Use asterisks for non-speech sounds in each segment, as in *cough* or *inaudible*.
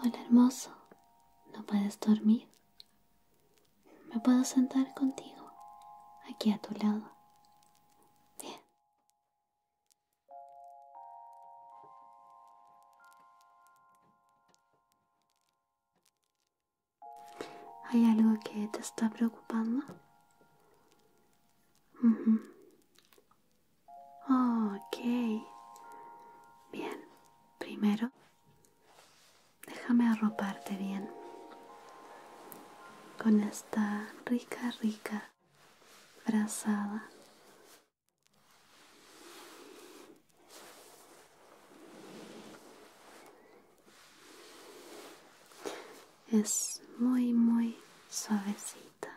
Hola hermoso, ¿no puedes dormir? ¿Me puedo sentar contigo? Aquí a tu lado. Bien. ¿Hay algo que te está preocupando? Ah, okay, Bien. Primero, déjame arroparte bien. Con esta rica, rica brazada. Es muy, muy suavecita.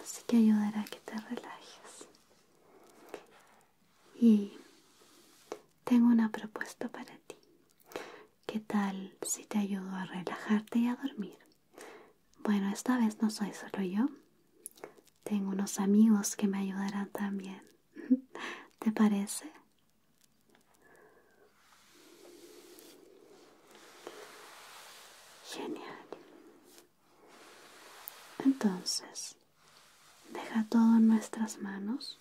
Así que ayudará a que te relajes. Y tengo una propuesta para ti. ¿Qué tal si te ayudo a relajarte y a dormir? Bueno, esta vez no soy solo yo. Tengo unos amigos que me ayudarán también. *laughs* ¿Te parece? Genial. Entonces, deja todo en nuestras manos.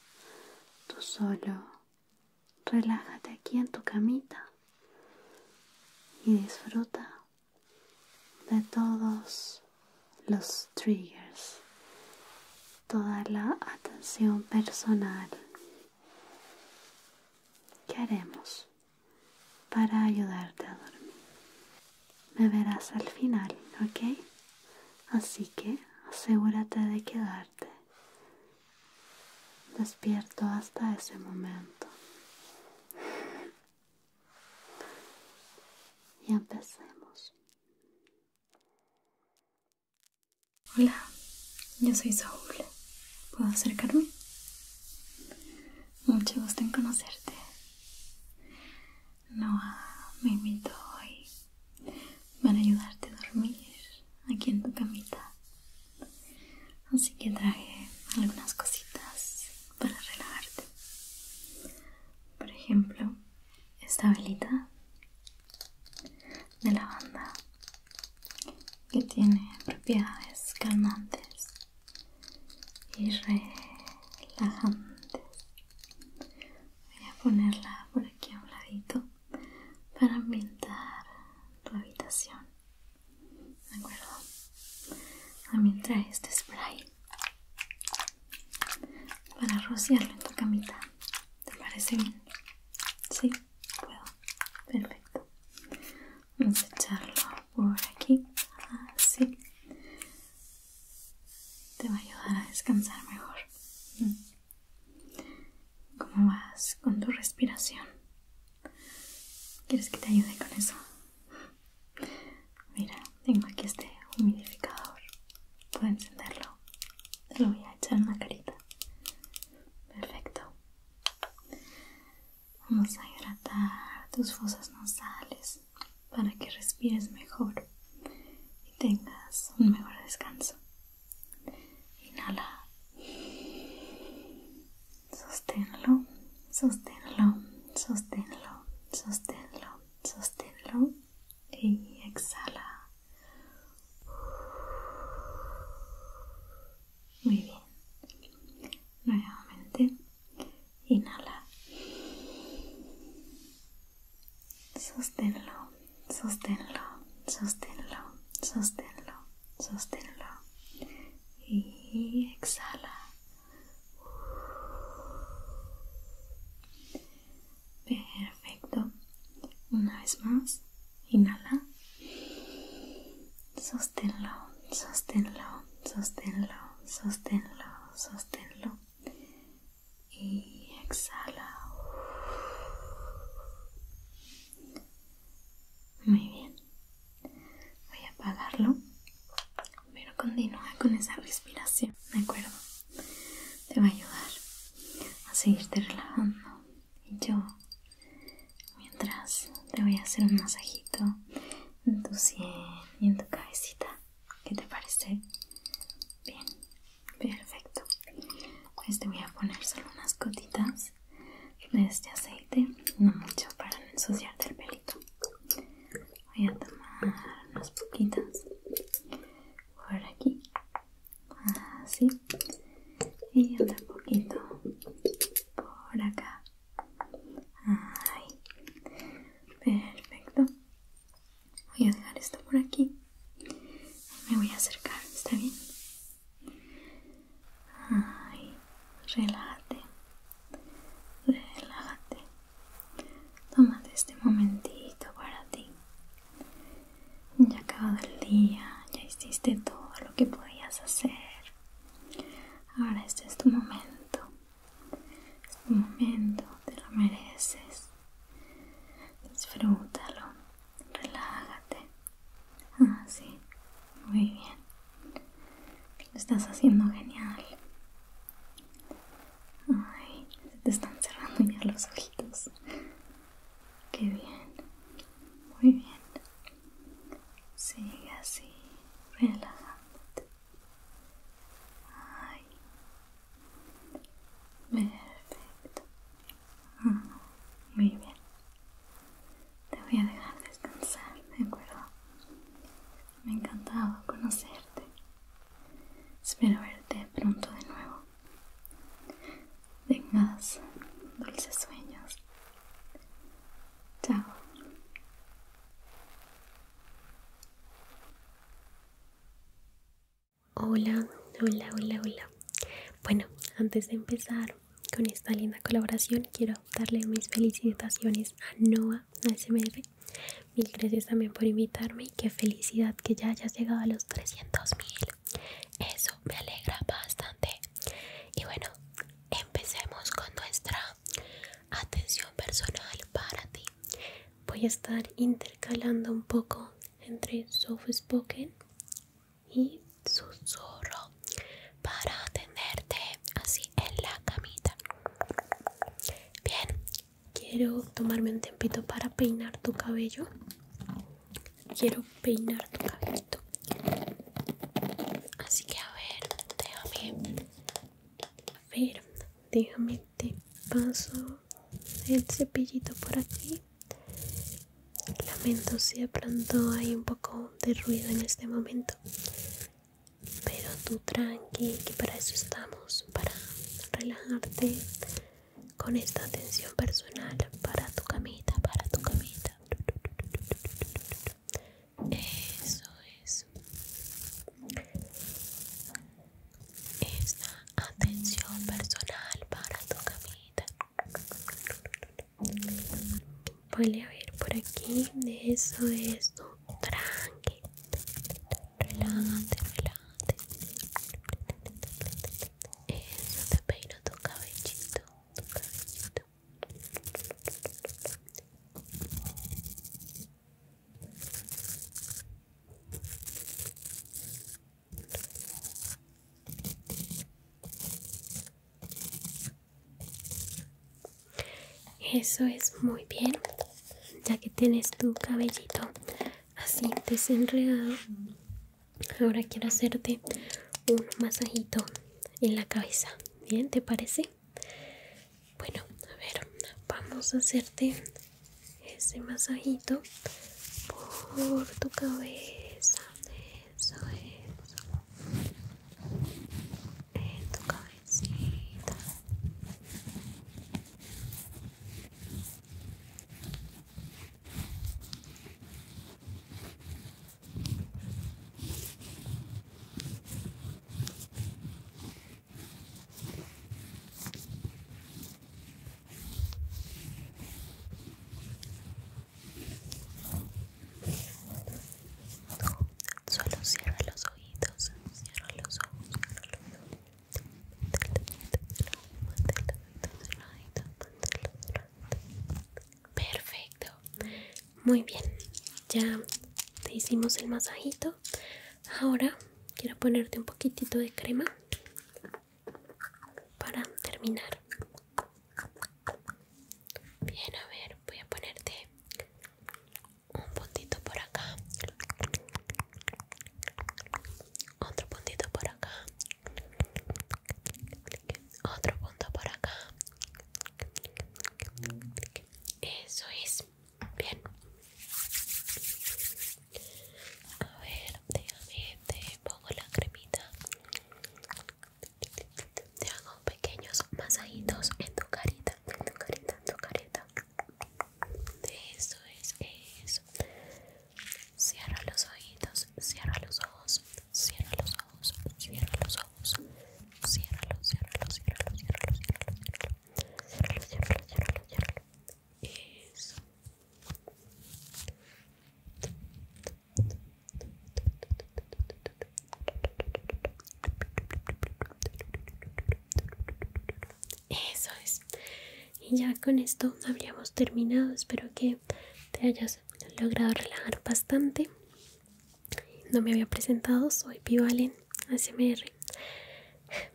Tú solo relájate aquí en tu camita y disfruta de todos los triggers, toda la atención personal ¿Qué haremos para ayudarte a dormir? Me verás al final, ¿ok? Así que asegúrate de quedarte despierto hasta ese momento. Y empecemos. Hola, yo soy Saúl. ¿Puedo acercarme? Mucho gusto en conocerte. Noah me invitó hoy a ayudarte a dormir aquí en tu camita. Así que traje algunas cositas para relajarte. Por ejemplo, esta velita de lavanda que tiene propiedades calmantes y relajantes. Voy a ponerla por aquí a un ladito para ambientar tu habitación. ¿De acuerdo? También trae este spray para rociarlo en tu camita. ¿Te parece bien? Sí. ¿Puedo? Perfecto. Vamos a echarlo por aquí. Así. Te va a ayudar a descansar mejor. Mm. ¿Cómo vas con tu respiración? ¿Quieres que te ayude con eso? Mira, tengo aquí este humidificador. Puedo encenderlo. Te lo voy a echar en la carita. Perfecto. Vamos a hidratar tus fosas nasales para que respires mejor y tengas un mejor descanso. Inhala. Sosténlo, sosténlo, sosténlo, sosténlo, sosténlo y exhala. Muy bien. Nuevamente. Inhala. Sosténlo, sosténlo, sosténlo, sosténlo, sosténlo. Y exhala. Perfecto. Una vez más. Inhala. Sosténlo, sosténlo, sosténlo, sosténlo, sosténlo. Y exhala. Muy bien. Voy a apagarlo. Pero continúa con esa respiración, ¿de acuerdo? Te va a ayudar a seguirte relajando y yo, mientras te voy a hacer un masajito en tu sien y en tu cabecita. ¿Qué te parece? Bien, perfecto. Pues te voy a poner solo unas gotitas de este aceite, no mucho para no ensuciarte el pelito. Voy a tomar unas poquitas por aquí así ah, y un poquito por acá ahí perfecto voy a dejar esto por aquí me voy a acercar está bien ahí relájate relájate tómate este momentito para ti ya acabado el día, ya hiciste todo lo que podías hacer. Ahora este es tu momento. Es tu momento, te lo mereces. Disfrútalo, relájate. Así, ah, muy bien. Lo estás haciendo genial. Ay, se te están cerrando ya los ojitos. Qué bien, muy bien. Sigue así, relajándote. Ay. Perfecto. Mm, muy bien. Te voy a dejar descansar, ¿de acuerdo? Me ha encantado conocerte. Espero verte pronto de nuevo. Tengas dulces sueños. Chao. Hola, hola, hola, hola. Bueno, antes de empezar con esta linda colaboración, quiero darle mis felicitaciones a Noah ASMR. Mil gracias también por invitarme y qué felicidad que ya hayas llegado a los 300 mil eso me alegra bastante y bueno empecemos con nuestra atención personal para ti voy a estar intercalando un poco entre soft spoken y susurro para atenderte así en la camita bien quiero tomarme un tempito para peinar tu cabello quiero peinar tu cabellito. Así que a ver, déjame. A ver, déjame te paso el cepillito por aquí. Lamento si de pronto hay un poco de ruido en este momento. Pero tú tranqui, que para eso estamos, para relajarte, con esta atención personal para tu camita, para tu camita. Eso es. Esta atención personal para tu camita. Voy a ver por aquí. Eso es. Tranqui. Relájate, relájate. Eso, eh, te peino tu cabellito, tu cabellito. Eso es muy bien, ya que tienes tu cabellito así desenredado. Ahora quiero hacerte un masajito en la cabeza. ¿Bien? ¿Te parece? Bueno, a ver, vamos a hacerte ese masajito por tu cabeza. Eso, eso. En tu cabecita. Solo cierra los ojitos, cierra los ojos, Perfecto. Muy bien. Ya te hicimos el masajito. Ahora quiero ponerte un poquitito de crema para terminar. Bien, a ver, voy a ponerte un puntito por acá. Otro puntito por acá. Otro punto por acá. Eso es. Bien. A ver, déjame, te pongo la cremita. Te hago pequeños masajitos en tu carita, en tu carita, en tu carita. Eso es, eso. Cierra los ojitos, cierra los ojos. Cierra los ojos, cierra los ojos. los los cierra los cierra los los Eso. Eso es. Y ya con esto habríamos terminado. Espero que te hayas he logrado relajar bastante. No me había presentado, soy Pivalen ASMR.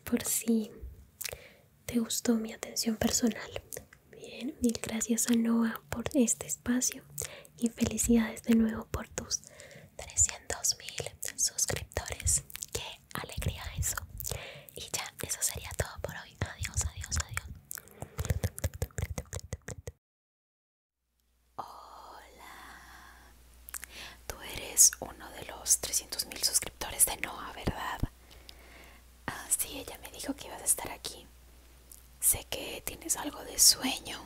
Por si te gustó mi atención personal. Bien, mil gracias a Noah por este espacio y felicidades de nuevo por tus 300 mil suscriptores. ¡Qué alegría eso! Y ya, eso sería todo por hoy. Adiós, adiós, adiós. Hola, tú eres uno de los 300.000 suscriptores de Noah, ¿verdad? Ah, sí, ella me dijo que ibas a estar aquí. Sé que tienes algo de sueño.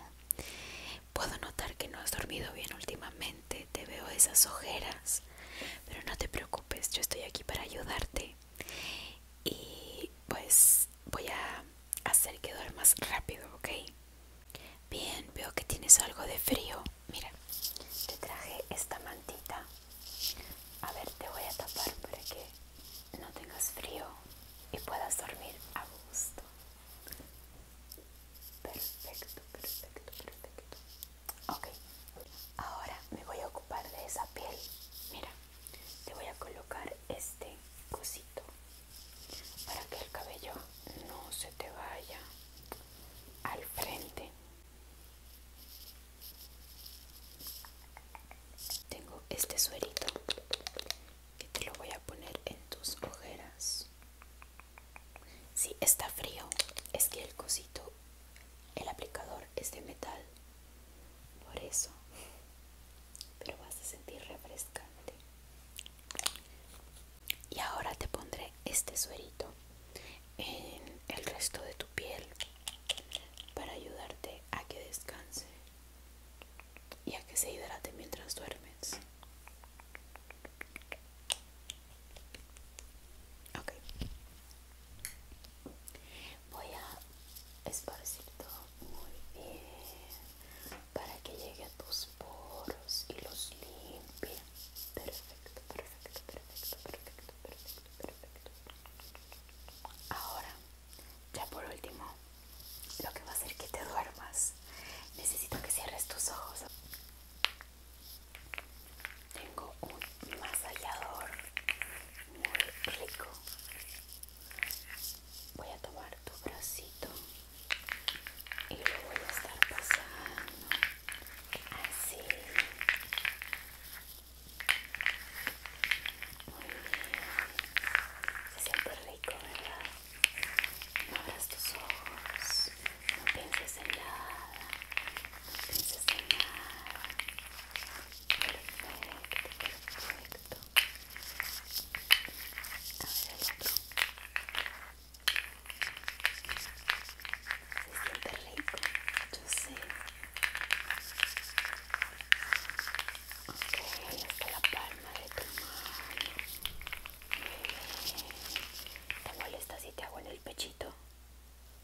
Puedo notar que no has dormido bien últimamente. Te veo esas ojeras. Pero no te preocupes, yo estoy aquí para ayudarte y pues voy a hacer que duermas rápido, ¿ok? Bien, veo que tienes algo de frío. Mira, te traje esta mantita. A ver, te voy a tapar para que no tengas frío y puedas dormir a gusto. Perfecto, perfecto, perfecto. Ok, ahora me voy a ocupar de esa piel. Mira, te voy a colocar este cosito para que el cabello no se te vaya al frente tengo este suerito que te lo voy a poner en tus ojeras si está frío es que el cosito el aplicador es de metal por eso pero vas a sentir refrescante y ahora te pondré este suerito en el resto de tu piel para ayudarte a que descanse y a que se hidrate mientras duermes ok Voy a esparcir todo muy bien para que llegue a tus poros y los limpie. Perfecto, perfecto, perfecto, perfecto, perfecto, perfecto. Ahora, ya por último, lo que va a hacer que te duermas. Necesito que cierres tus ojos. Tengo un masallador muy rico voy a tomar tu bracito y lo voy a estar pasando así muy bien se siente rico verdad no abras tus ojos no pienses en nada no pienses en nada Perfecto, perfecto. A ver rico, yo sé. Ok, está la palma de tu mano. ¿Te molesta si te hago en el pechito?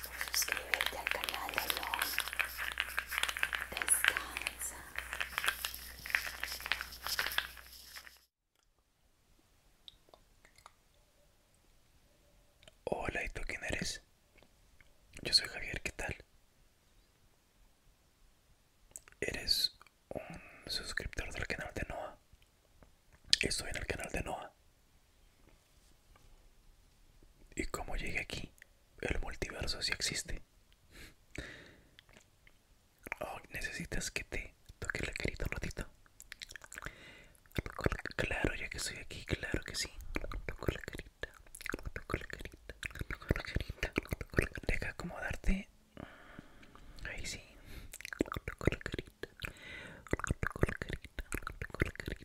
Suscríbete al canal de LOL Descansa Hola, ¿y tú quién eres? Yo soy Javier, ¿qué tal? ¿Eres un suscriptor del canal de Noah? Estoy en el canal de Noah ¿Y cómo llegué aquí? El multiverso sí existe. Oh, ¿Necesitas que te toque la carita un ratito? Claro, ya que estoy aquí, claro que sí. Toco la carita, toco la carita, toco la carita. Deja acomodarte. Ahí sí. Toco la carita, toco la carita, toco la carita.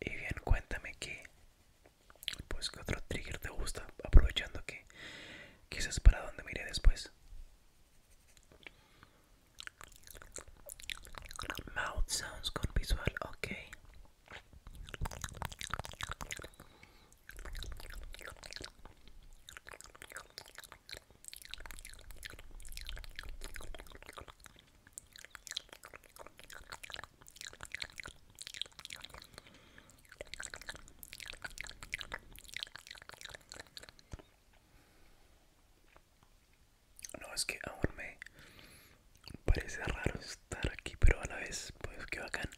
Y bien, cuéntame que, pues, ¿qué otro trigger te gusta? Aprovechando que quizás para dónde mire después. Mouth sounds con visual, ok. No, es que aún me parece raro estar aquí, pero a la vez, pues que bacán.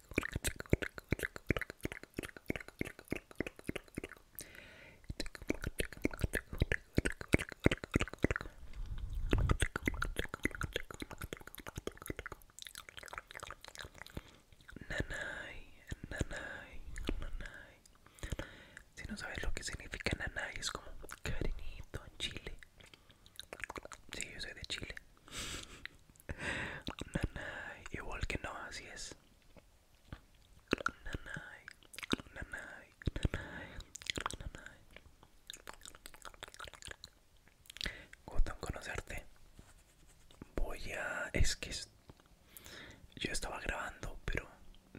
Nanay, nanay, Si no sabes lo que significa nanay, es como cariñito en Chile. Si, yo soy de Chile. igual que no, así es. Nanay, conocerte. Voy a... es que yo estaba grabando, pero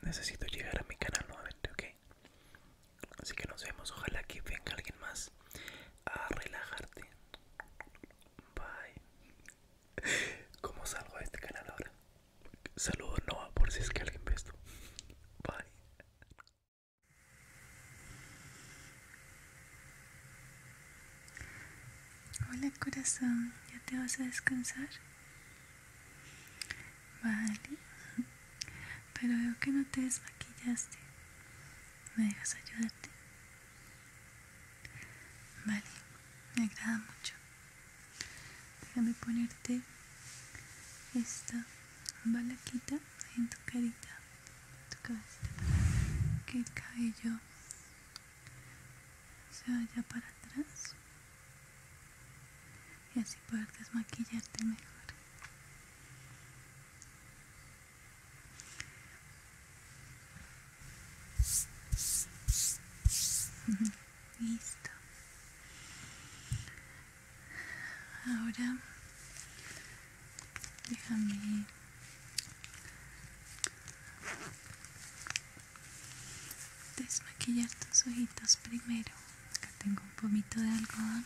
necesito llegar a mi canal nuevamente, ¿ok? Así que nos vemos, ojalá que venga alguien más a relajarte. Bye. ¿Cómo salgo de este canal ahora? Saludos Noah por si es que alguien ve esto. Bye. Hola corazón, ¿ya te vas a descansar? Vale, pero veo que no te desmaquillaste me dejas ayudarte. Vale, me agrada mucho. Déjame ponerte esta balaquita en tu carita, en tu que el cabello se vaya para atrás y así poder desmaquillarte mejor. Listo. Ahora déjame desmaquillar tus ojitos primero. Acá tengo un poquito de algodón.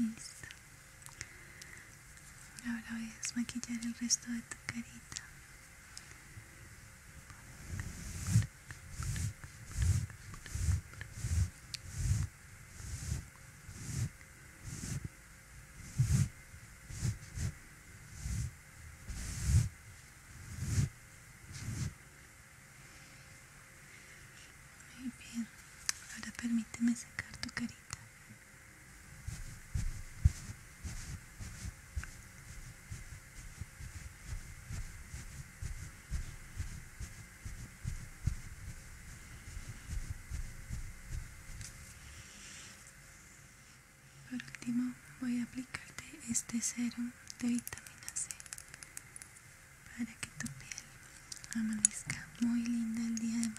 Listo. Ahora voy a desmaquillar el resto de tu carita. Muy bien, ahora permíteme sacar tu carita. Por último voy a aplicarte este serum de vitamina C para que tu piel amanezca muy linda el día de mañana.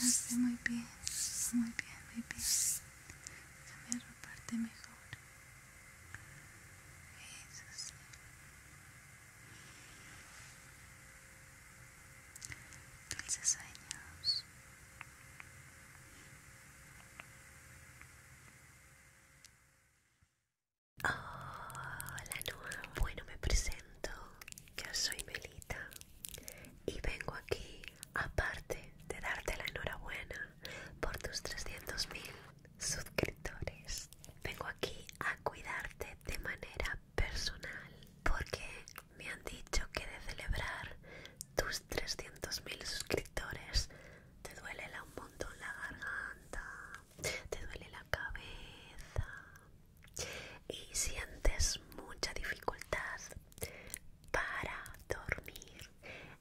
Quédate muy bien, muy bien, muy bien. Déjame arroparte mejor. Eso dulces sueños. Hola Nua bueno me presento, yo soy Melita y vengo aquí aparte de darte la enhorabuena por tus 300.000 suscriptores, vengo aquí a cuidarte de manera personal porque me han dicho que de celebrar tus 300.000 suscriptores te duele un montón la garganta, te duele la cabeza y sientes mucha dificultad para dormir.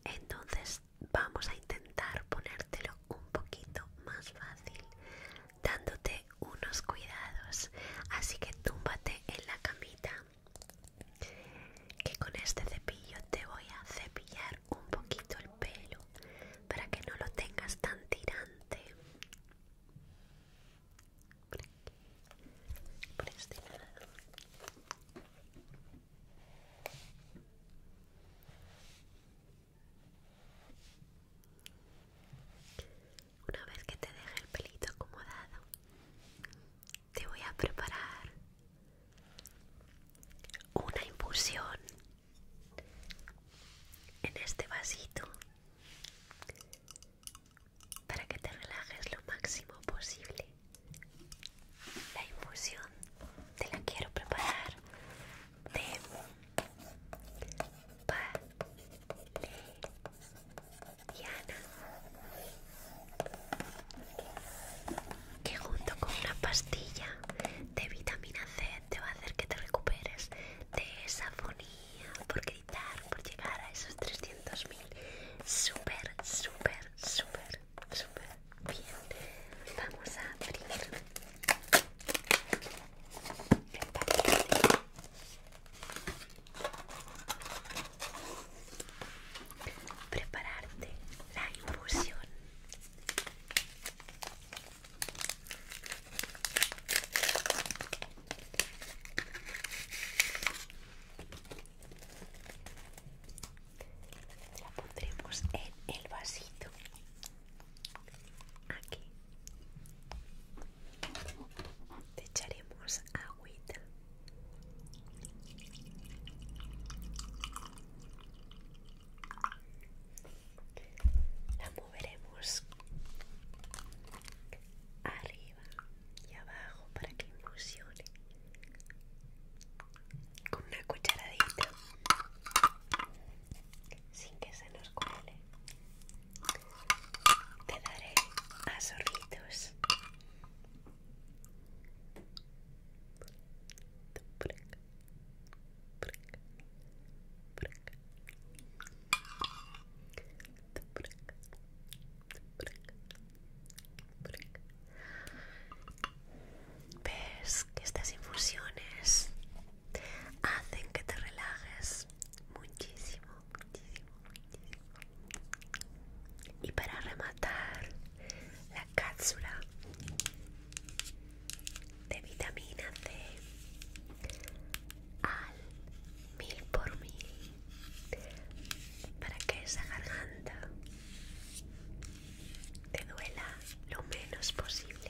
Entonces vamos a intentar ponértelo un poquito más fácil dándote unos cuidados. Así que túmbate en la camita, que con este cepillo te voy a cepillar un poquito el pelo para que no lo tengas tan tirante. Este una vez que te deje el pelito acomodado, te voy a preparar una infusión en este vasito para que te relajes lo máximo posible. La infusión te la quiero preparar de pa que junto con una pastilla de vitamina C te va a hacer que te recuperes de esa fonía por gritar, por llegar a esos 300.000 súper, súper, súper, súper bien vamos a abrir prepararte la infusión. La pondremos en el vasito. Aquí te echaremos agüita. La moveremos arriba y abajo para que infusione con una cucharadita sin que se nos cuele te daré a zorritos. Ves que estas infusiones hacen que te relajes muchísimo y para rematar, la cápsula de vitamina C al mil por mil para que esa garganta te duela lo menos posible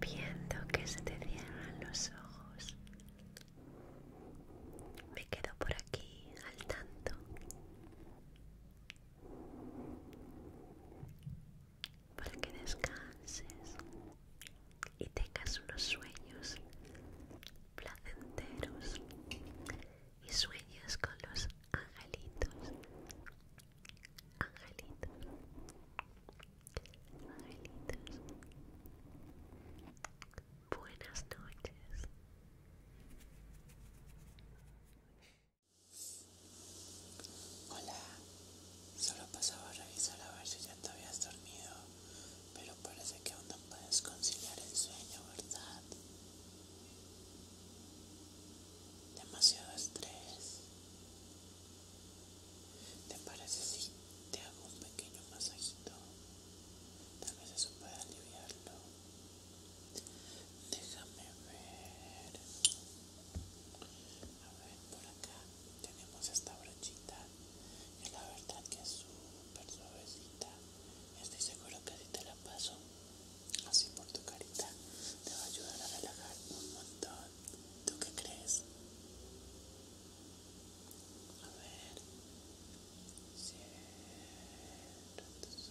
Viendo que se te cierran los ojos, me quedo por aquí al tanto para que descanses y tengas unos sueños placenteros y sueños con los angelitos angelitos angelitos buenas noches Hola, solo pasaba a revisar a ver si ya te habías dormido, pero parece que aún no puedes conciliar el sueño, ¿verdad? Demasiado estrés. ¿Te parece si te hago un pequeño masajito? Tal vez eso pueda aliviarlo. Déjame ver. A ver, por acá tenemos esta brochita. Y la verdad que es súper suavecita. Estoy seguro que si te la paso así por tu carita, te va a ayudar a relajar un montón. ¿Tú qué crees? A ver. Cierra tus ojitos.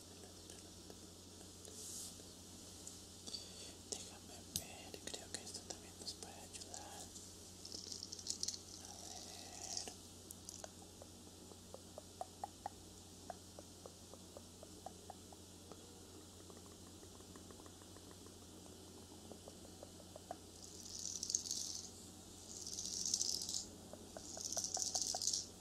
Déjame ver, creo que esto también nos puede ayudar.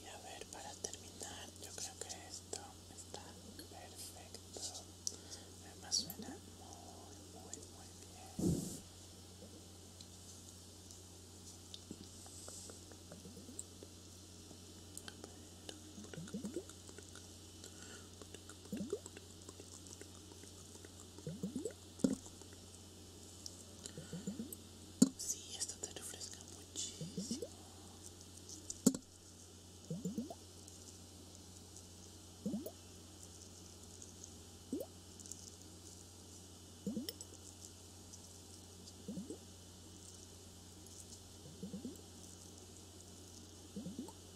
Y a ver, para terminar, yo creo que esto está perfecto. Además suena muy, muy, muy bien. Sí, esto te refresca muchísimo.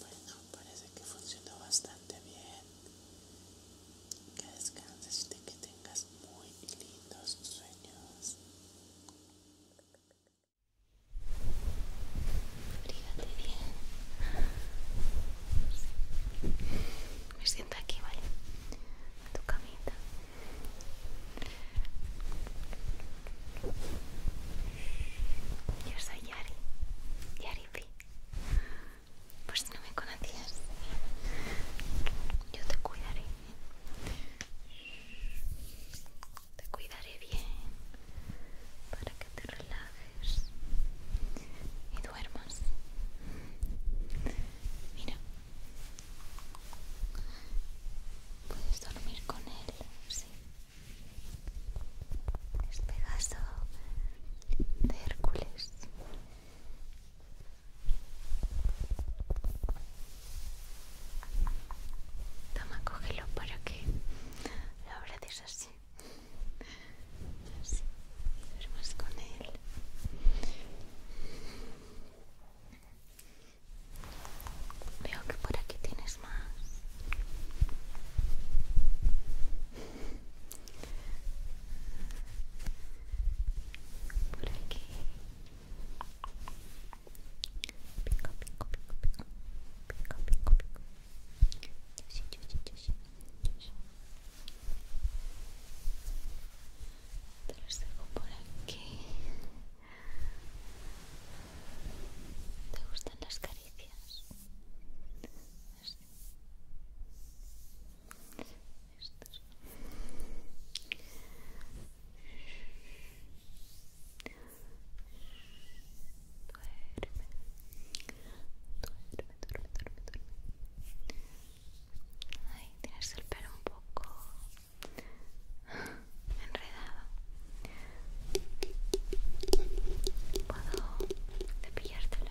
Bueno, parece que funcionó bastante bien. Que descanses y que tengas muy lindos sueños. bien me siento aquí, ¿vale? tu camita. Yo soy Yari, Yari Por si no me conocías, yo te cuidaré. Te cuidaré bien para te relajes y duermas. Mira, puedes dormir con él, sí. Es Pegaso de Hércules. Toma, cógelo para que lo es así. Así, con él. Veo que por aquí tienes más. Por aquí. Pico, pico, pico, pico. Pico, pico, pico. sí, te los dejo por aquí. ¿Te gustan las caricias? Así. Estos. Duerme duerme, duerme, duerme, tienes el pelo un poco enredado. Puedo cepillártelo.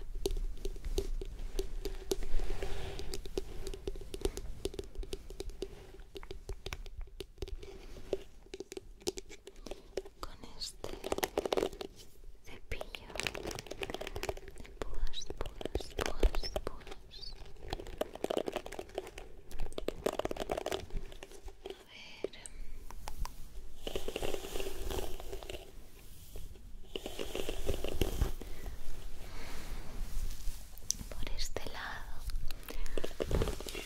Con este cepillo de puas, A ver. Por este lado, para a dormir.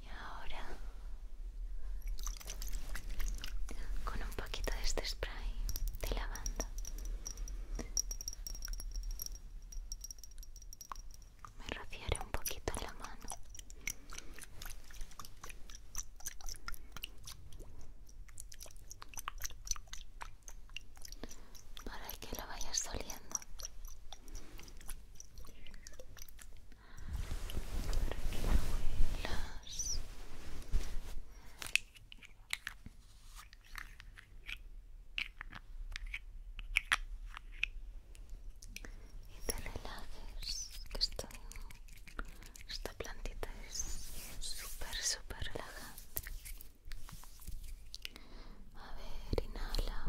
Y ahora con un poquito de este spray de lavanda. Me rociaré un poquito la mano para que lo vayas oliendo huelas y te relajes que estoy esta plantita es súper, súper relajante. A ver, inhala.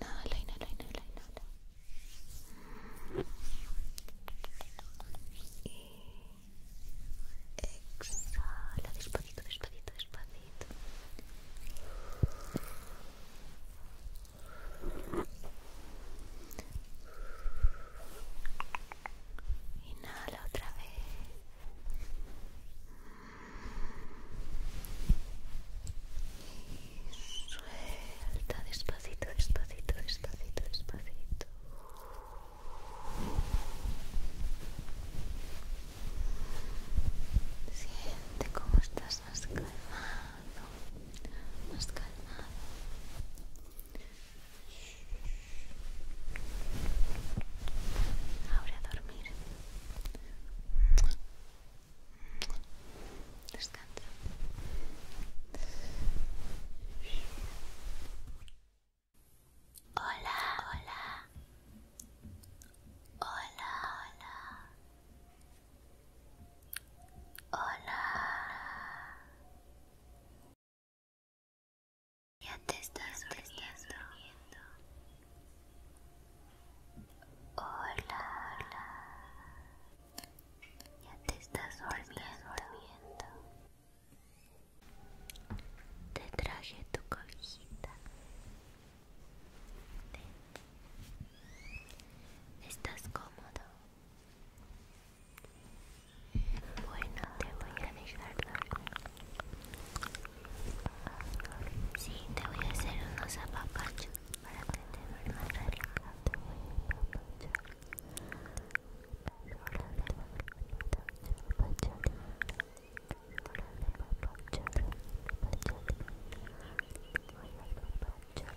Inhala, inhala, inhala, inhala. Y exhala, despacito, despacito, despacito. Inhala otra vez. Y suelta despacito, despacito, despacito, despacito. Siente cómo estás más calma más calmado. Ahora a dormir. Descansa. Hola, hola. Hola, hola. Hola. Ya te estás durmiendo. Hola. Ya te estás durmiendo. Te traje tu cobijita. ¿Estás cómodo? Bueno, te voy a dejar dormir. Sí, te voy a hacer unos apapachos para que te duermas relajado. Te voy a apapachar. te voy a apapachar. te voy a apapachar. Te voy a apapachar. Te voy a apapachar.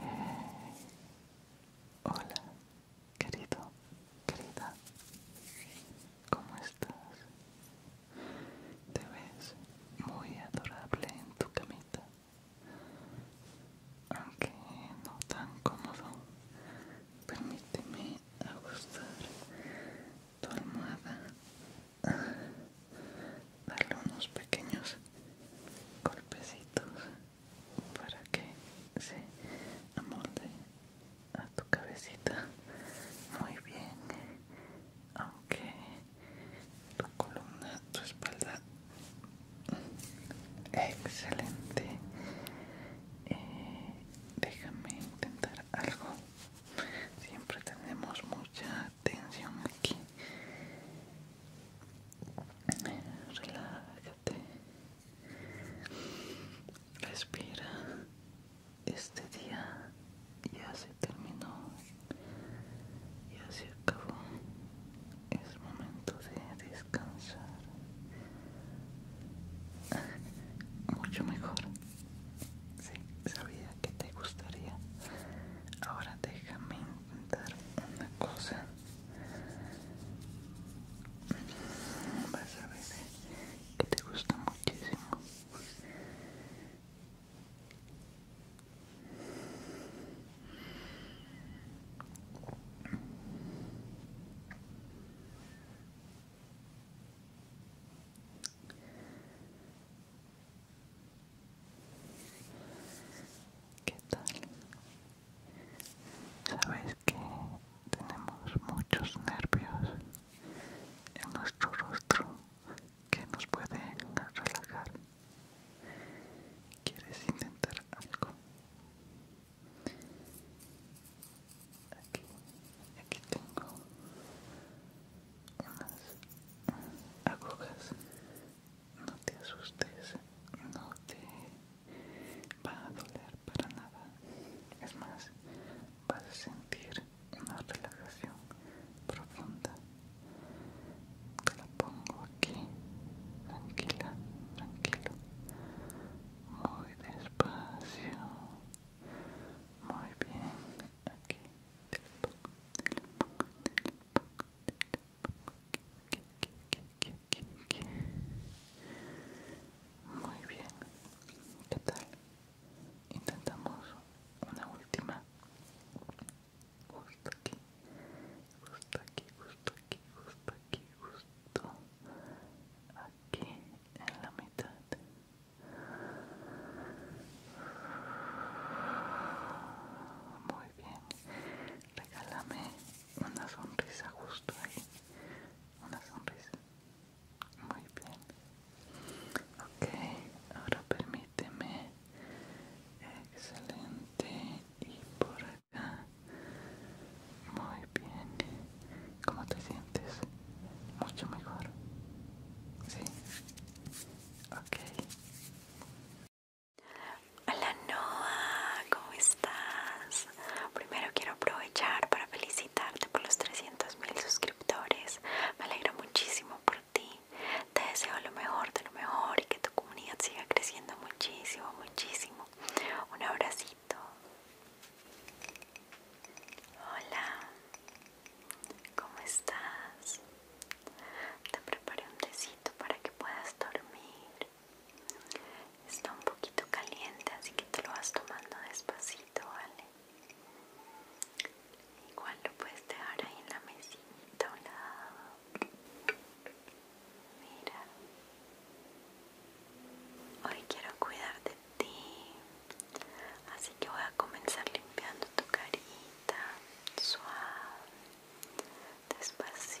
Eh, hola, querido, querida. ¿Cómo estás? Te ves muy adorable en tu camita. Aunque no tan cómodo, permíteme ajustar tu almohada darle unos pequeños golpecitos para que se amolde a tu cabecita muy bien aunque tu columna tu espalda excelente eh, déjame intentar algo siempre tenemos mucha tensión aquí Relájate. Respira. Este día ya se terminó. Ya se acabó. Es momento de descansar. Mucho mejor. Sí, sabía que te gustaría. Ahora déjame intentar una cosa. Vas a ver eh, que te gusta muchísimo. ¿Qué tal? ¿Sabes que tenemos muchos nervios en nuestro rostro que nos pueden relajar. ¿Quieres intentar algo? Aquí, aquí tengo unas agujas no te asustes, no te va a doler para nada. Es más, vas a sentir una relajación profunda. Te la pongo aquí, tranquila, tranquilo, muy despacio, muy bien. Aquí muy bien, ¿qué tal? Intentamos una última. Justo aquí, justo aquí, justo aquí, justo aquí, justo aquí en la mitad. Muy bien, regálame una sonrisa justo ahí una sonrisa muy bien ok ahora permíteme excelente y por acá muy bien ¿cómo te sientes? mucho mejor ¿sí? ok Hola Noah, ¿cómo estás? Primero quiero aprovechar para felicitarte por los 300.000 mil suscriptores. Me alegro muchísimo por ti. Te deseo lo mejor de lo mejor y que tu comunidad siga creciendo muchísimo, muchísimo. Un abracito. Hola, ¿cómo estás? Te preparé un tecito para que puedas dormir. Está un poquito caliente, así que te lo vas tomando despacito, ¿vale? Igual lo puedes dejar ahí en la mesita a un lado. Mira. Hoy quiero cuidar de ti. Así que voy a comenzar limpiando tu carita. Suave despacito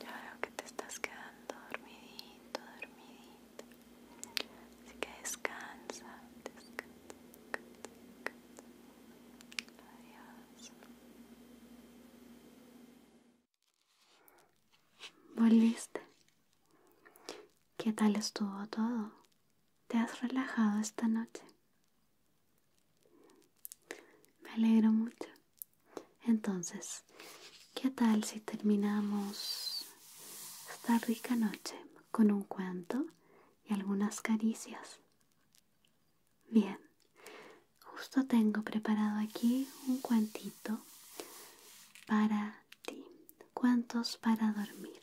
Ya veo que te estás quedando dormidito, dormidito. Así que descansa, descansa, descansa, Adiós. Volviste. ¿Qué tal estuvo todo? ¿Te has relajado esta noche? Me alegro mucho. Entonces, ¿qué tal si terminamos esta rica noche con un cuento y algunas caricias? Bien, justo tengo preparado aquí un cuentito para ti. Cuentos para dormir.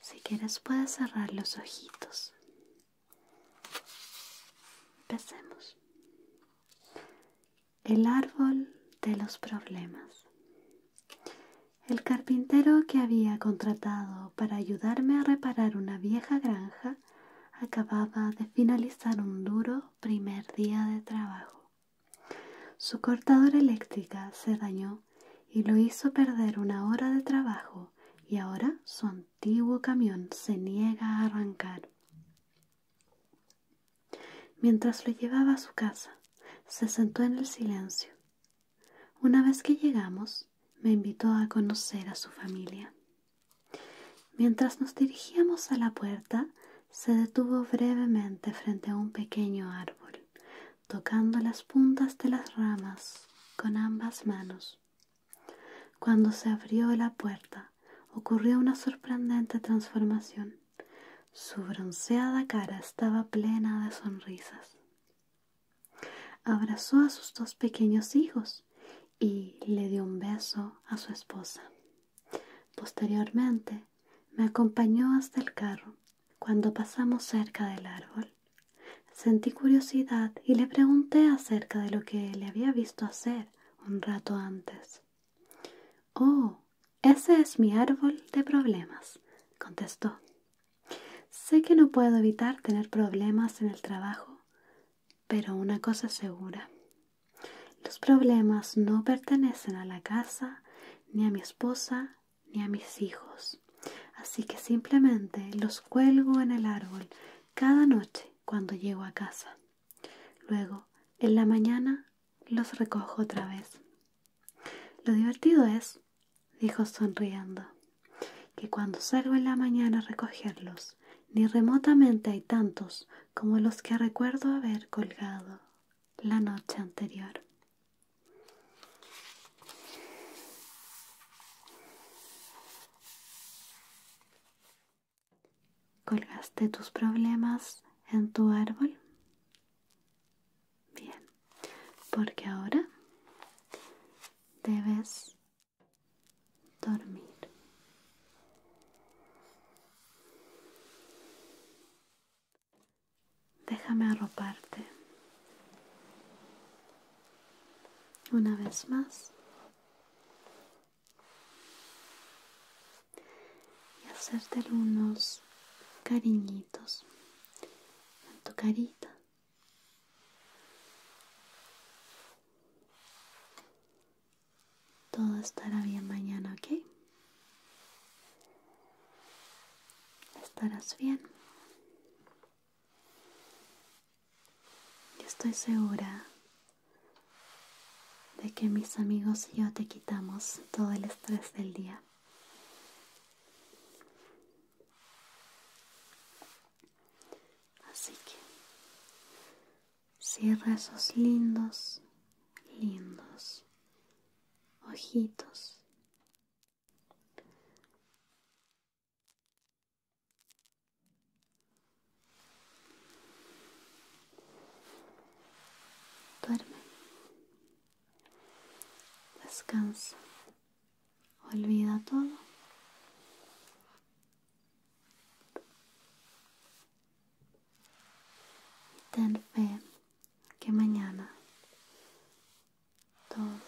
Si quieres puedes cerrar los ojitos. Empecemos. El árbol de los problemas. El carpintero que había contratado para ayudarme a reparar una vieja granja acababa de finalizar un duro primer día de trabajo. Su cortadora eléctrica se dañó y lo hizo perder una hora de trabajo y ahora su antiguo camión se niega a arrancar. Mientras lo llevaba a su casa, se sentó en el silencio. Una vez que llegamos, me invitó a conocer a su familia. Mientras nos dirigíamos a la puerta, se detuvo brevemente frente a un pequeño árbol, tocando las puntas de las ramas con ambas manos. Cuando se abrió la puerta, ocurrió una sorprendente transformación. Su bronceada cara estaba plena de sonrisas. Abrazó a sus dos pequeños hijos y le dio un beso a su esposa. Posteriormente, me acompañó hasta el carro. Cuando pasamos cerca del árbol, sentí curiosidad y le pregunté acerca de lo que le había visto hacer un rato antes. Oh, ese es mi árbol de problemas, contestó. Sé que no puedo evitar tener problemas en el trabajo, pero una cosa segura, los problemas no pertenecen a la casa, ni a mi esposa, ni a mis hijos. Así que simplemente los cuelgo en el árbol cada noche cuando llego a casa. Luego, en la mañana, los recojo otra vez. Lo divertido es, dijo sonriendo, que cuando salgo en la mañana a recogerlos, ni remotamente hay tantos como los que recuerdo haber colgado la noche anterior. ¿Colgaste tus problemas en tu árbol? Bien, porque ahora debes dormir. Déjame arroparte. Una vez más. Y hacerte unos cariñitos en tu carita. Todo estará bien mañana, ¿ok? Estarás bien. Yo estoy segura de que mis amigos y yo te quitamos todo el estrés del día. Así que cierra esos lindos, lindos ojitos. Duerme. Descansa. Olvida todo. ten fe que mañana todo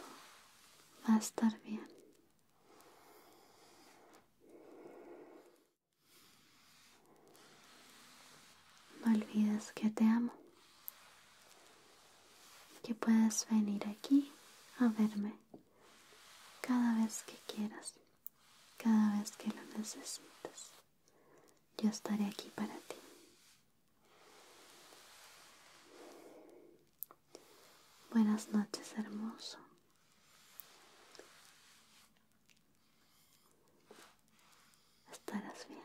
va a estar bien. No olvides que te amo, que puedes venir aquí a verme cada vez que quieras, cada vez que lo necesites. Yo estaré aquí para ti. Buenas noches, hermoso. Estarás bien.